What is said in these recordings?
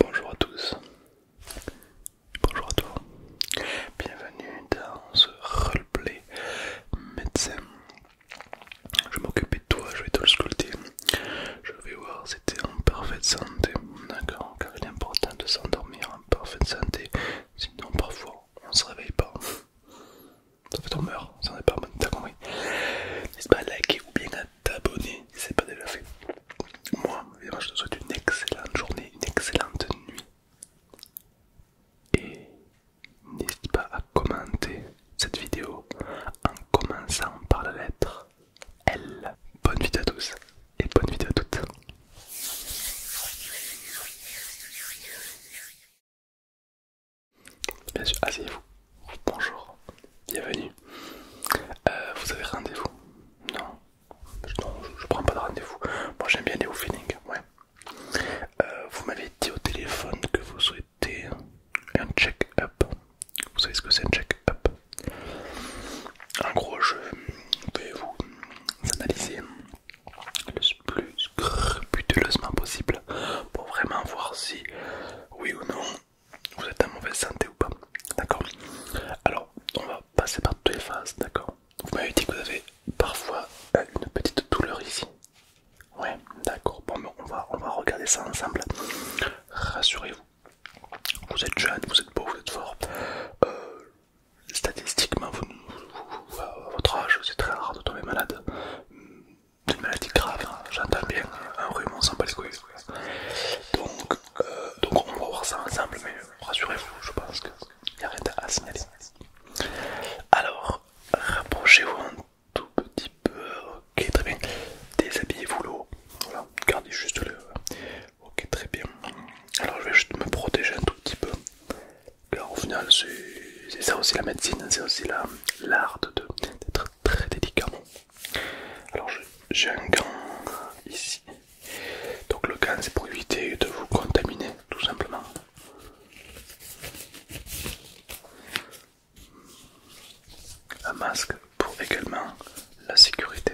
Bonjour à tous, bonjour à toi, bienvenue dans ce roleplay médecin. Je m'occuper de toi, je vais te le sculpter, je vais voir si t'es en parfaite santé, d'accord, car il est important de s'endormir en parfaite santé, sinon parfois on se réveille pas. Ça fait on meurt, ça n'est pas bon, t'as compris N'hésite pas à liker ou bien à t'abonner si ce pas déjà fait. Moi, je te souhaite une excellente journée, une excellente nuit. Et n'hésite pas à commenter cette vidéo en commençant par la lettre L. Bonne vidéo à tous et bonne vidéo à toutes. Bien sûr, asseyez-vous. Bonjour, bienvenue. Euh, vous avez rendez-vous Non, je, prends pas de rendez-vous. Moi j'aime bien les au feeling, ouais. Euh, vous m'avez dit au téléphone que vous souhaitez un check-up. Vous savez ce que c'est un check-up En gros, je vais vous analyser le plus scrupuleusement possible pour vraiment voir si, oui ou non, vous êtes en mauvaise santé ou pas, d'accord Alors, on va passer par toutes les phases, d'accord Vous m'avez dit que vous avez parfois euh, une petite douleur ici. Ouais, d'accord. Bon, on va, on va regarder ça ensemble. Rassurez-vous, vous êtes jeune, vous êtes beau, vous êtes fort. Euh, statistiquement, à votre âge, c'est très rare de tomber malade d'une maladie grave, hein. j'entends bien hein. un rhume, on s'en bat les couilles. Donc, euh, donc, on va voir ça ensemble, mais rassurez-vous, je pense qu'il n'y a rien à signaler. Alors, rapprochez-vous un tout petit peu, ok, très bien. Déshabillez-vous l'eau, gardez juste le. Ok, très bien. Alors, je vais juste me protéger un tout petit peu, car au final, c'est ça aussi la médecine, c'est aussi l'art d'être très délicat. Alors j'ai un gant ici. Donc le gant c'est pour éviter de vous contaminer tout simplement. Un masque pour également la sécurité.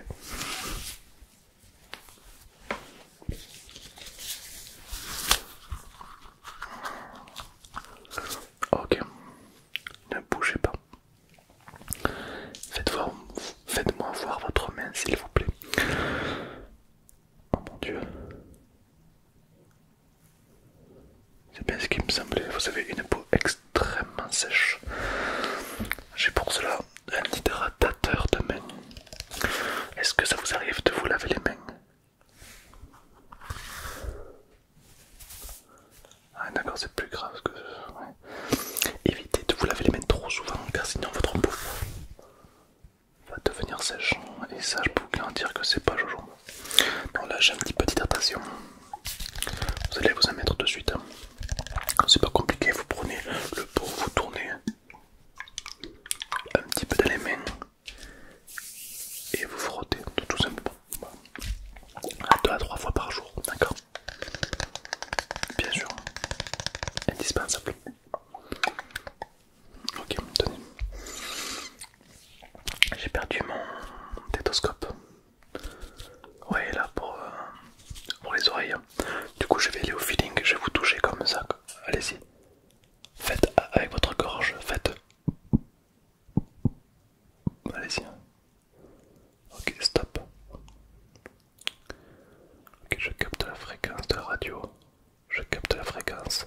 Ok, ne bougez pas. Faites-moi voir votre main, s'il vous plaît. Oh mon dieu. C'est bien ce qui me semblait. Vous avez une peau extrêmement sèche. J'ai pour cela un hydratateur de main. Est-ce que ça vous arrive de vous laver les mains ah d'accord, c'est plus grave que... Évitez de vous laver les mains trop souvent car sinon votre peau va devenir sèche. Et ça, je peux vous garantir que c'est pas jojo. Donc là, j'ai un petit peu d'hydratation. Vous allez vous en mettre de suite. Hein. C'est pas compliqué, vous prenez le pot, vous tournez un petit peu dans les mains et vous frottez tout simplement à 2 à 3 fois par jour, d'accord Bien sûr, indispensable. Ok, tenez. J'ai perdu mon tétoscope. Ouais, là euh, pour les oreilles. Du coup, je vais aller au feeling, je vais vous toucher comme ça. Allez-y. Faites avec votre gorge, faites. Allez-y. Ok, stop. Ok, je capte la fréquence de la radio. Je capte la fréquence.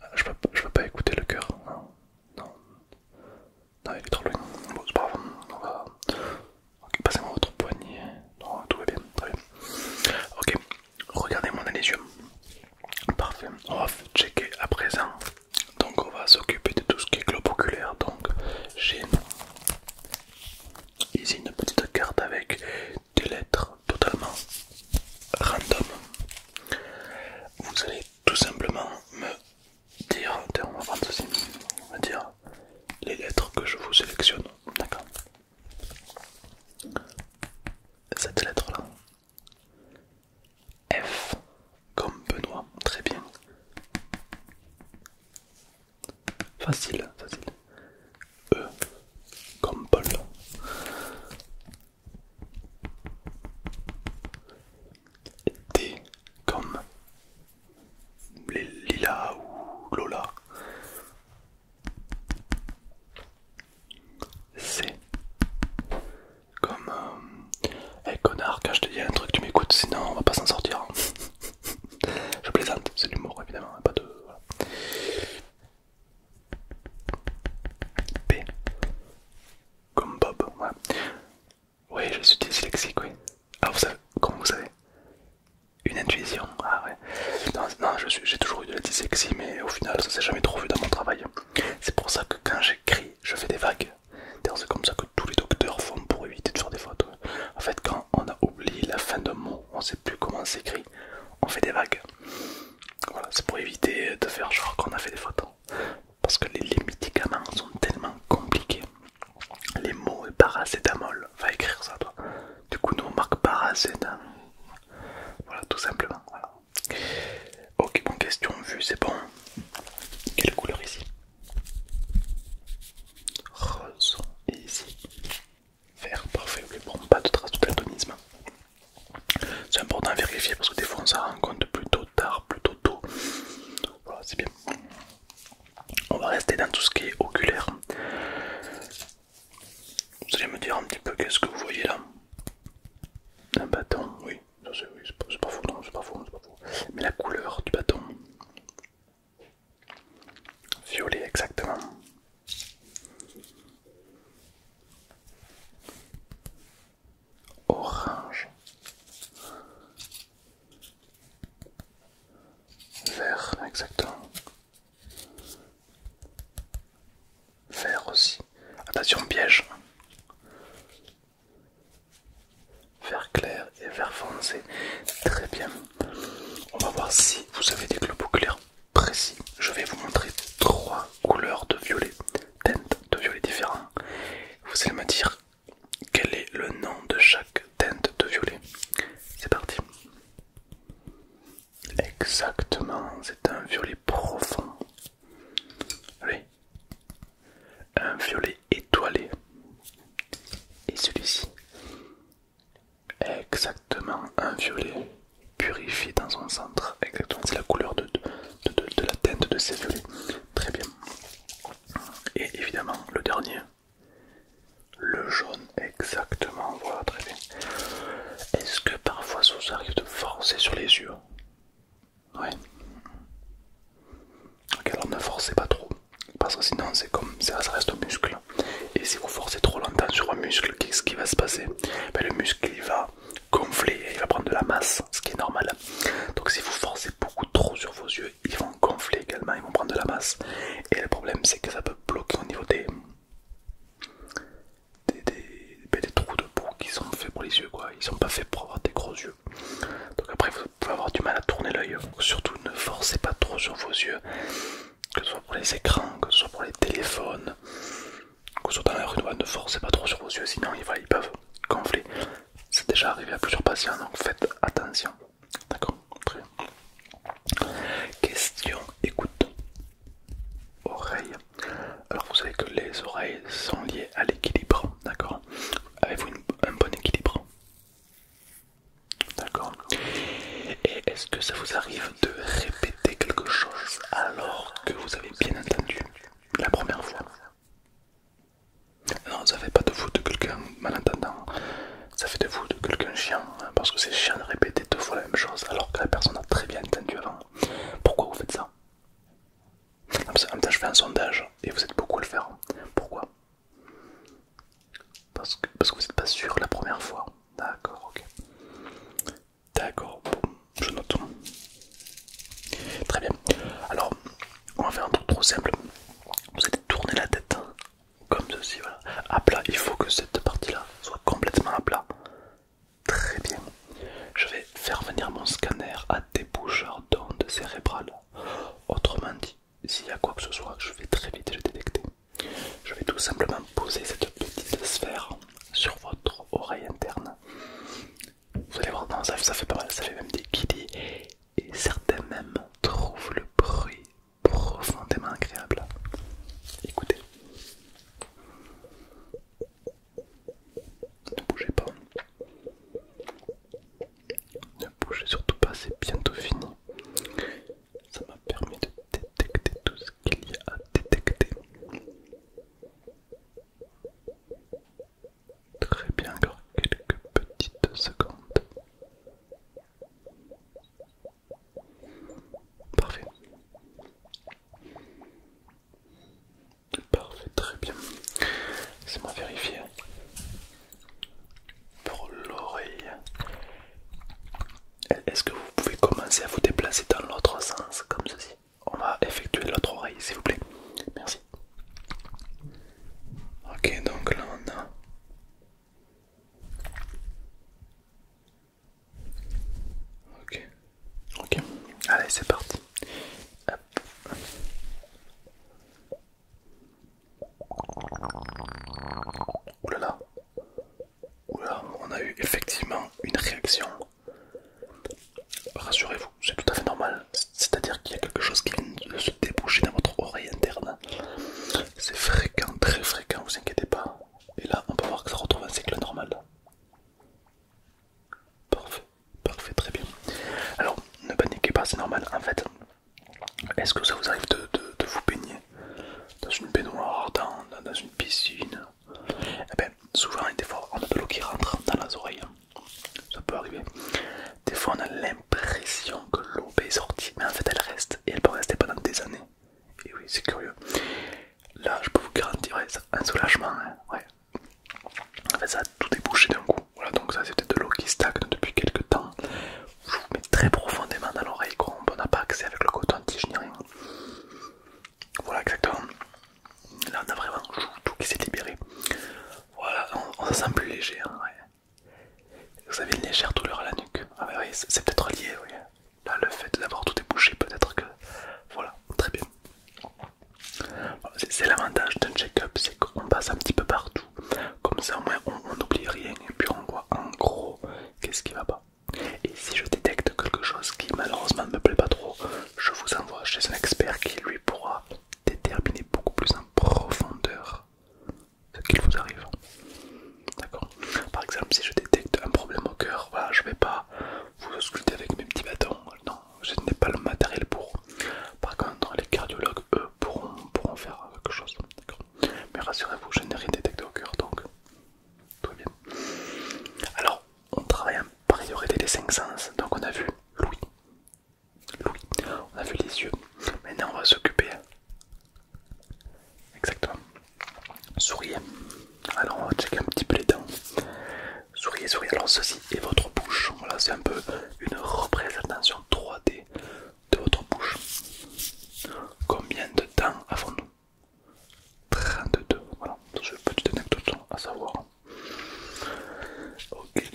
Ah, je peux, peux pas écouter le cœur. Non, non. Non, il est trop loin. Bon, c'est pas grave. Ok, passez-moi votre poignet. Non, tout va bien. Très bien. Ok, regardez-moi dans les yeux. Parfait, on va checker à présent. Donc on va s'occuper de tout ce qui est globe oculaire. Donc j'ai ici une petite carte avec des lettres totalement random. Vous allez tout simplement me dire, on va dire les lettres que je vous sélectionne. D'accord Cette lettre là, F comme Benoît, très bien. Facile, facile. E comme Paul. D comme Lila ou Lola. C. Comme... Eh connard, quand je te dis un truc, tu m'écoutes, sinon on va pas s'en sortir. Hein. je plaisante, c'est l'humour évidemment, hein, pas de... P. Comme Bob, Ouais, Oui, je suis dyslexique, oui. Ah, vous savez, comment vous savez Une intuition, ah ouais. Non, non j'ai toujours eu de la dyslexie, mais au final, ça s'est jamais trop vu dans mon travail. C'est pour ça que quand j'écris, je fais des vagues. C'est comme ça que tous les docteurs font pour éviter de faire des fautes. En fait, quand on a oublié la fin d'un mot, on sait plus comment s'écrit, on fait des vagues. Voilà, c'est pour éviter de faire genre qu'on a fait des fautes. Parce que les, médicaments sont tellement compliqués. Les mots paracétamol, va écrire ça toi. Du coup, nous on marque paracétamol. Voilà, tout simplement. Ok, bon, question vue, c'est bon. Quelle couleur ici Rose, et ici Vert, parfait. bon, pas de trace de C'est important à vérifier parce que des fois on s'en rend compte plutôt tard, plutôt tôt. Voilà, c'est bien. On va rester dans tout ce qui est oculaire. Vous allez me dire un petit peu qu'est-ce que vous voyez là Un bâton, oui, c'est pas, pas faux, non, c'est pas faux, c'est pas faux. Mais la couleur du bâton. Violet exactement. Orange. Vert exactement. Vert aussi. Attention ah bah, piège. Vert clair et vert foncé. Très bien. On va voir si vous avez des globes clairs précis. Je vais vous montrer trois couleurs de violet, teintes de violet différents. Vous allez me dire quel est le nom de chaque teinte de violet. C'est parti. Exactement, c'est un violet profond. Oui. Un violet étoilé. Et celui-ci. Exactement, un violet purifié dans son centre. Exactement, c'est la couleur de, de, la teinte de ces violets. Très bien. Et évidemment, le dernier, le jaune. Exactement, voilà, très bien. Est-ce que parfois ça vous arrive de forcer sur les yeux Oui Ok, alors ne forcez pas trop, parce que sinon c'est comme ça, ça reste au muscle. Et si vous forcez trop longtemps sur un muscle, qu'est-ce qui va se passer ben, Le muscle il va gonfler et il va prendre de la masse, ce qui est normal. Donc si vous forcez beaucoup trop sur vos yeux, ils vont gonfler également, ils vont prendre de la masse. Et le problème c'est que ça peut bloquer au niveau des ben, des, trous de boue qui sont faits pour les yeux quoi, ils sont pas faits pour avoir des gros yeux. Donc après vous pouvez avoir du mal à tourner l'œil. Surtout ne forcez pas trop sur vos yeux, que ce soit pour les écrans, que ce soit pour les téléphones, que ce soit dans la rue, ne forcez pas trop sur vos yeux, sinon ils, ils peuvent gonfler. C'est déjà arrivé à plusieurs patients, donc faites attention. D'accord Très Question écoute. Oreille. Alors vous savez que les oreilles sont liées à l'équilibre, d'accord Avez-vous un bon équilibre D'accord. Et est-ce que ça vous arrive de répéter quelque chose alors que vous avez bien entendu la première fois Non, ça fait pas de vous de quelqu'un malentendant, ça fait de vous de quelqu'un chien, hein, parce que c'est chiant de répéter deux fois la même chose alors que la personne a très bien entendu avant. Pourquoi vous faites ça En même temps, je fais un sondage et vous êtes beaucoup à le faire. Pourquoi parce que, parce que vous n'êtes pas sûr la première fois. D'accord, ok. D'accord, je note. Très bien. Alors, on va faire un truc trop simple. Vous allez tourner la tête comme ceci, voilà, à plat. Il faut que cette partie-là soit complètement à plat. Très bien. Je vais faire venir mon scanner à des déboucheur d'ondes cérébrales. Autrement dit, s'il y a quoi que ce soit, je vais très vite le détecter. Je vais tout simplement poser cette petite sphère sur votre oreille interne. Vous allez voir, non, ça, fait pas mal, ça fait même des guidis. Et certains même trouvent le bruit profondément agréable. Écoutez. Ne bougez pas. Ne bougez surtout pas, c'est bientôt fini. Ça m'a permis de détecter tout ce qu'il y a à détecter. Très bien, encore quelques petites secondes. Parfait. Parfait, très bien. Laissez-moi vérifier. Pour l'oreille. Est-ce que vous pouvez commencer à vous déplacer dans l'autre sens comme ceci On va effectuer l'autre oreille, s'il vous plaît. Merci. Ok, donc là on a Ok, ok, allez c'est parti. Hop. on a eu effectivement une réaction. Rassurez-vous, c'est tout à fait normal. C'est-à-dire qu'il y a quelque chose qui vient de se déboucher dans votre oreille interne. C'est fréquent, très fréquent, vous inquiétez pas. Et là, on peut voir que ça retrouve un cycle normal. Parfait, parfait, très bien. Alors, ne paniquez pas, c'est normal. En fait, est-ce que ça vous arrive de, vous baigner dans une baignoire, dans, une piscine Eh bien, souvent, des fois, on a de l'eau qui rentre dans les oreilles. Ça peut arriver. Des fois, on a l'impression que l'eau est sortie, mais en fait, elle reste et elle peut rester pendant des années. Et oui, c'est curieux. Là, je peux vous garantir, un soulagement. Hein, ouais. ça a tout débouché d'un coup. Voilà, donc ça, c'était de l'eau qui stagne depuis quelques temps. Je vous mets très profondément dans l'oreille, on n'a pas accès avec le coton-tige ni rien. Voilà, exactement. Là, on a vraiment tout qui s'est libéré. Voilà, on, se sent plus léger. Hein, ouais. Vous avez une légère douleur à la nuque. Ah c'est peut-être lié, oui. Là, le fait d'avoir tout débouché, peut-être que... Voilà, très bien. C'est l'avantage d'un check-up, c'est qu'on passe un petit peu partout. Comme ça, au moins, on n'oublie rien et puis on voit en gros qu'est-ce qui va pas. Et si je détecte quelque chose qui malheureusement ne me plaît pas trop, je vous envoie chez un expert qui lui pourra déterminer beaucoup plus en profondeur ce qu'il vous arrive. D'accord Par exemple, si je détecte un problème au cœur, voilà, je vais pas vous sculpter avec mes petits bâtons. Non, je n'ai pas le matériel pour. Par contre, les cardiologues, eux, pourront, faire quelque chose. Mais rassurez-vous, je n'ai rien détecté au cœur, donc tout va bien. Alors, on travaille en priorité les 5 sens. Donc, on a vu l'ouïe, on a vu les yeux. Maintenant, on va s'occuper Exactement. Souriez. Alors on va checker un petit peu les dents. Souriez, souriez. Alors ceci est votre bouche. Voilà, c'est un peu une représentation 3D de votre bouche. Combien de dents avons-nous 32. Voilà, c'est une petite anecdote à savoir. Ok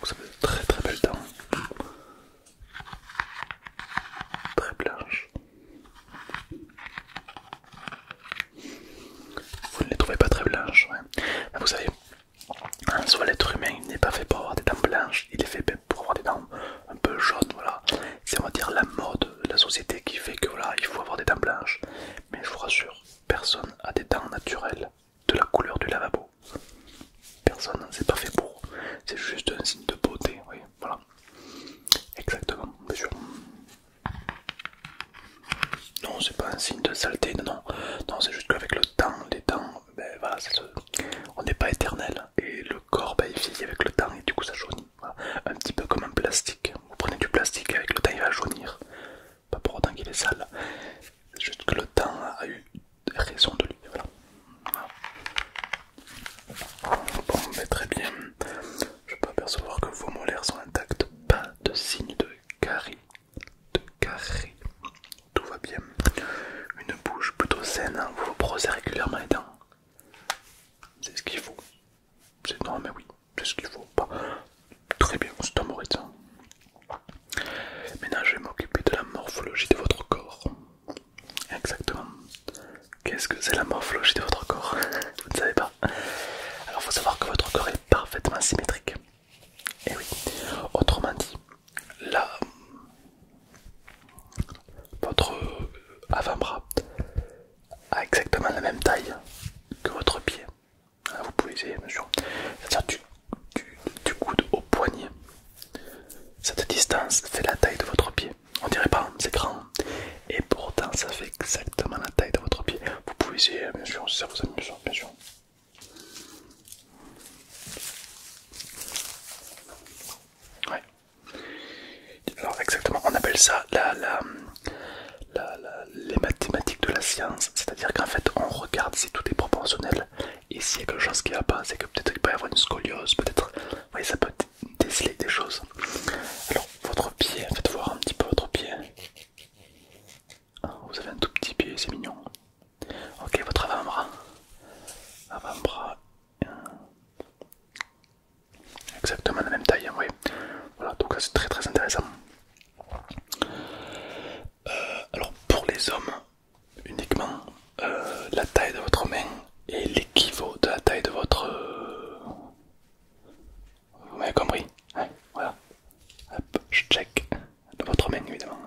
vous avez très très belles dents. Très blanches. Vous ne les trouvez pas très blanches, vous savez, hein, soit l'être humain n'est pas fait pour avoir des dents blanches, il est fait pour avoir des dents un peu jaunes, voilà. C'est dire la mode, la société qui fait que voilà, il faut avoir des dents blanches. Mais je vous rassure, personne n'a des dents naturelles de la couleur du lavabo. Personne, c'est pas fait pour. C'est juste un signe de beauté, oui, voilà. Exactement, bien sûr. Non, c'est pas un signe de saleté, non. Non, c'est juste qu'avec le temps, les dents, ben on n'est pas éternel. Et le corps, ben, il vieillit avec le temps et du coup ça jaunit. Un petit peu comme un plastique. Vous prenez du plastique avec le temps, il va jaunir. Pas pour autant qu'il est sale, juste que le temps a eu raison de lui. Voilà. Bon, mais très bien. Je peux apercevoir que vos molaires sont intactes, pas de signe de carie. De carré. Tout va bien. Une bouche plutôt saine, hein. vous vous brossez régulièrement les dents. C'est ce qu'il faut. C'est normal, mais oui c'est ce qu'il faut. Pas très bien, c'est un Maintenant, je vais m'occuper de la morphologie de votre corps. Exactement. Qu'est-ce que c'est la morphologie de votre corps Vous ne savez pas Alors, il faut savoir que votre corps est parfaitement symétrique. Et eh oui, autrement dit, là, votre avant-bras a exactement la même taille que votre pied. Ah, vous pouvez essayer, bien sûr. à du, coude au poignet. Cette distance fait la taille de votre pied. On dirait pas, hein, c'est grand. Et pourtant, ça fait exactement la taille de votre pied. Vous pouvez essayer, hein, bien sûr, ça vous amuse, bien sûr. Alors exactement, on appelle ça la, la, les mathématiques de la science, c'est-à-dire qu'en fait on regarde si tout est proportionnel et s'il y a quelque chose qui va pas, c'est que peut-être il peut y avoir une scoliose, peut-être, ça peut déceler des choses. Alors votre pied, faites voir un petit peu votre pied. Ah, vous avez un tout petit pied, c'est mignon. Ok, votre avant-bras. Avant-bras. Exactement la même taille, hein, oui. Voilà, donc c'est très très intéressant. Euh, alors pour les hommes uniquement, euh, la taille de votre main est l'équivalent de la taille de votre... Euh, vous m'avez compris hein, Voilà. Hop, je check. De votre main évidemment.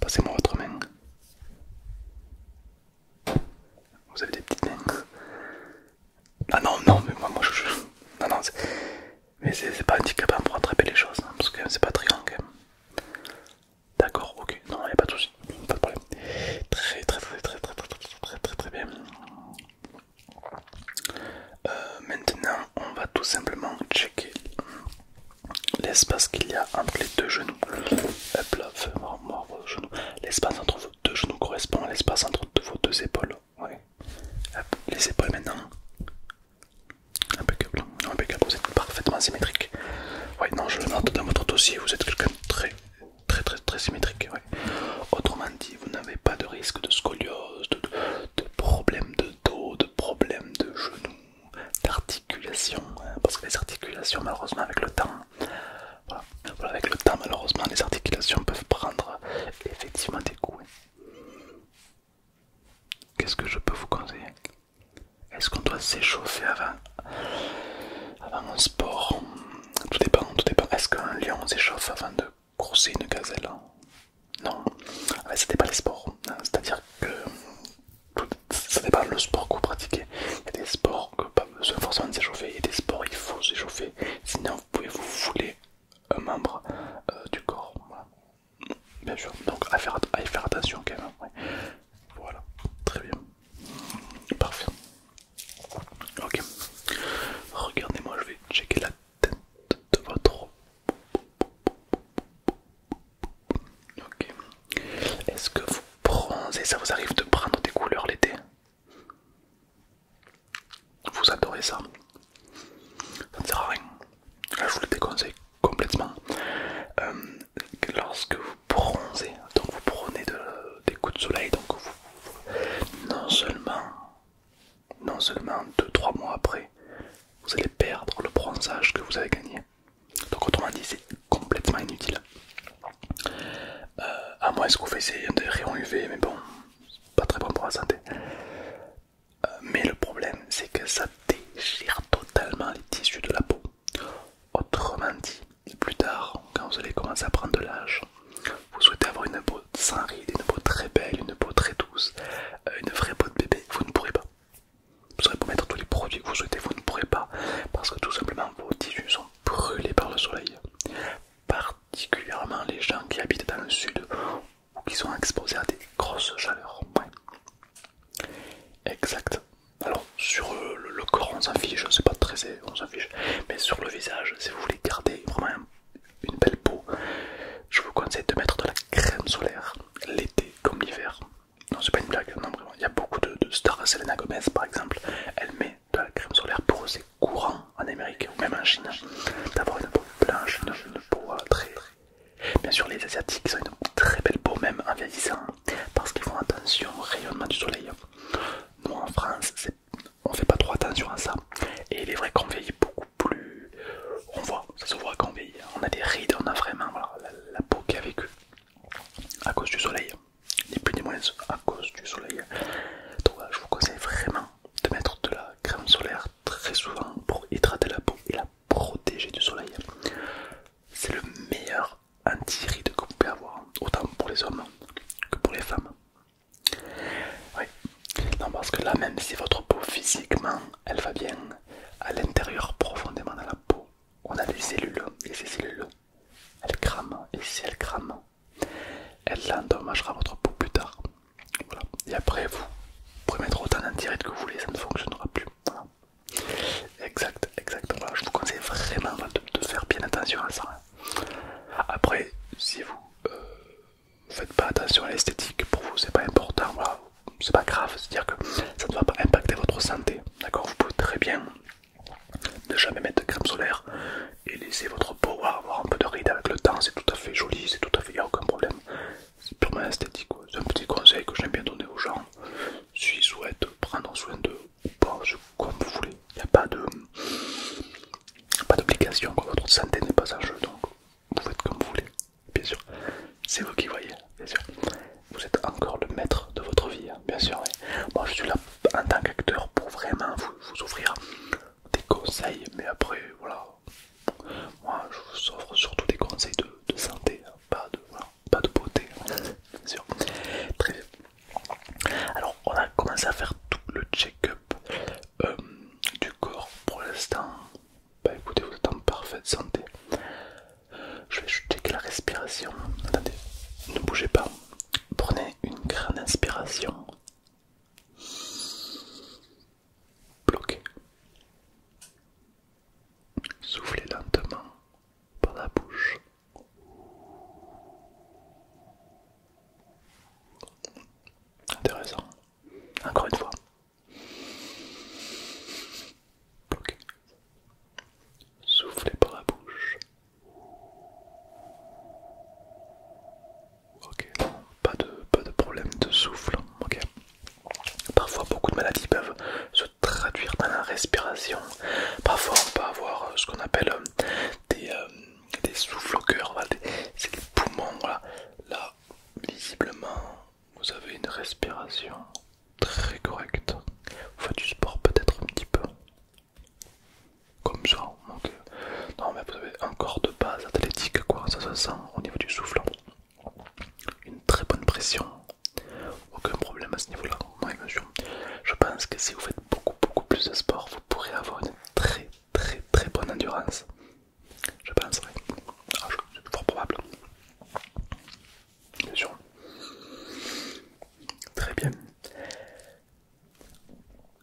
Passez-moi votre main. Vous avez des petites mains. Ah non, non, mais moi, moi je... Non, non, mais c'est pas handicapant pour attraper les choses, hein, parce que c'est pas très grand D'accord, ok, non, il a pas de soucis, pas de problème. Très très très très très très très très très, bien. Euh, maintenant, on va tout simplement checker l'espace qu'il y a entre les deux genoux. Hop là, l'espace entre vos deux genoux correspond à l'espace entre vos deux épaules les épaules maintenant. Impeccable, vous êtes parfaitement symétrique. non, je le note dans votre dossier, vous êtes quelqu'un de très, très, très, très symétrique. Autrement dit, vous n'avez pas de risque de scoliose, de, problèmes de dos, de problèmes de genoux, d'articulation, hein, parce que les articulations, malheureusement, avec le temps, avec le temps, malheureusement, les articulations peuvent prendre effectivement des coups. Qu'est-ce que je peux vous conseiller Est-ce qu'on doit s'échauffer avant Avant un sport Tout dépend, Est-ce qu'un lion s'échauffe avant de courser une gazelle Non, ah ben, c'était pas les sports. C'est-à-dire que ça pas le sport que vous pratiquez. Il y a des sports que pas besoin forcément de s'échauffer, il y a des sports il faut s'échauffer, sinon vous pouvez vous fouler un membre euh, du corps. Bien sûr, donc à faire, attention quand même. Voilà, très bien. Parfait. Ok. Regardez-moi, je vais checker la tête de votre... Ok. Est-ce que vous bronzez Ça vous arrive de prendre des couleurs l'été vous adorez ça. Ça ne sert à rien. Là, je vous le déconseille complètement. Euh, lorsque vous bronzez, donc vous prenez des coups de soleil, donc non seulement, non seulement 2-3 mois après, vous allez perdre le bronzage que vous avez gagné. Donc autrement dit, c'est complètement inutile. Euh, à moins que vous fassiez des rayons UV, mais bon, pas très bon pour la santé. Euh, mais le problème, c'est que ça déchire totalement les tissus de la peau. Autrement dit, plus tard, quand vous allez commencer à prendre de l'âge, vous souhaitez avoir une peau sans rides, une peau très belle, une peau très douce, euh, une vraie peau de bébé, vous ne pourrez pas. Vous aurez vous mettre tous les produits que vous souhaitez, vous ne pourrez pas, parce que tout simplement vos tissus sont brûlés par le soleil, particulièrement les gens qui habitent dans le sud ou qui sont exposés à des grosses chaleurs. Exact. Alors sur euh, le, corps on s'en fiche, c'est pas très on s'en fiche, mais sur le visage, si vous voulez garder vraiment une belle peau, je vous conseille de mettre de la crème solaire l'été comme l'hiver. Non c'est pas une blague, non vraiment. Il y a beaucoup de, de stars, Selena Gomez par exemple, elle met de la crème solaire, pour eux c'est courant en Amérique ou même en Chine d'avoir une peau blanche, une, peau euh, très... Bien sûr les Asiatiques ont une très belle peau même en vieillissant parce qu'ils font attention au rayonnement du soleil. Nous en France on fait pas trop attention à ça et il est vrai qu'on vieillit beaucoup plus... On voit, ça se voit qu'on vieillit, on a des rides, on a vraiment la peau qui a vécu à cause du soleil ni plus ni moins à cause du soleil. Donc je vous conseille vraiment de mettre de la crème solaire très souvent pour hydrater la peau et la protéger du soleil. C'est le meilleur anti-rides que vous pouvez avoir, autant pour les hommes que pour les femmes. Oui, non, parce que là, même si votre peau physiquement elle va bien, à l'intérieur, profondément dans la peau, on a des cellules, et ces cellules elles crament, et si elles crament, elle l'endommagera votre peau plus tard. Voilà. Et après, vous pouvez mettre autant d'antirid que vous voulez, ça ne fonctionnera plus. Exact, exact. Je vous conseille vraiment de, faire bien attention à ça. Hein. Après, si vous ne euh, faites pas attention à l'esthétique, pour vous c'est pas important, c'est pas grave, c'est-à-dire que ça ne va pas impacter votre santé. D'accord Vous pouvez très bien ne jamais mettre de crème solaire et laisser votre peau avoir un peu de ride avec le temps, c'est tout à fait joli, c'est tout à fait, il n'y a aucun problème. C'est purement esthétique, c'est un petit conseil que j'aime bien donner aux gens. S'ils souhaitent prendre soin d'eux ou pas, comme vous voulez, il n'y a pas de pas d'obligation, votre santé n'est pas en jeu, donc vous faites comme vous voulez, bien sûr. C'est vous qui voyez, bien sûr. Vous êtes encore le maître de votre vie, hein, bien sûr. Oui. Moi je suis là en tant qu'acteur pour vraiment vous, offrir des conseils, mais après voilà, moi je vous offre surtout des conseils de, santé, hein, pas, de, pas de beauté, hein, bien sûr. Très Alors on a commencé à faire tout le check-up euh, du corps pour l'instant. Bah écoutez, vous êtes en parfaite santé. Je vais checker la respiration. Attendez, ne bougez pas prenez une grande inspiration. Bloquez. Soufflez lentement par la bouche. Intéressant. Encore une fois. Bloquez. Soufflez par la bouche. Ok, pas de, pas de problème de souffle. Ok. Parfois, beaucoup de maladies peuvent se traduire dans la respiration. Parfois, on peut avoir euh, ce qu'on appelle euh, des, euh, des souffles au cœur. C'est les poumons. Voilà. Là, visiblement, vous avez une respiration très correcte. Vous faites du sport peut-être un petit peu comme ça. Donc, non, mais vous avez encore de base athlétique, quoi. Ça se sent au niveau du souffle. Une très bonne pression, aucun problème à ce niveau-là. Je pense que si vous faites beaucoup, beaucoup plus de sport, vous pourrez avoir une très, très, très bonne endurance. Je pense, oui. Ah, c'est fort probable. Bien sûr. Très bien.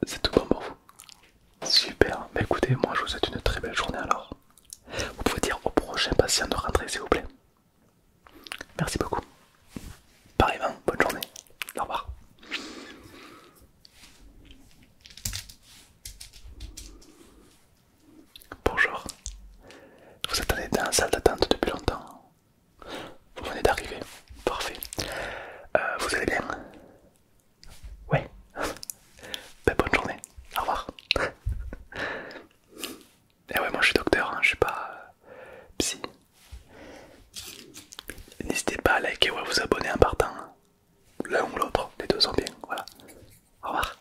C'est tout bon pour vous. Super, bah écoutez, moi je vous souhaite une très belle journée alors. Vous pouvez dire au prochain patient de rentrer s'il vous plaît. Merci beaucoup. Pareillement, bonne journée. Au revoir. Bonjour. Vous attendez dans la salle d'attente depuis longtemps. Vous venez d'arriver, parfait. Euh, vous allez bien Ouais. Ben, bonne journée, au revoir. Et eh ouais, moi je suis docteur, hein. je suis pas euh, psy. N'hésitez pas à liker ou à vous abonner en partant. Hein. L'un ou l'autre, les deux sont bien, voilà. Au revoir.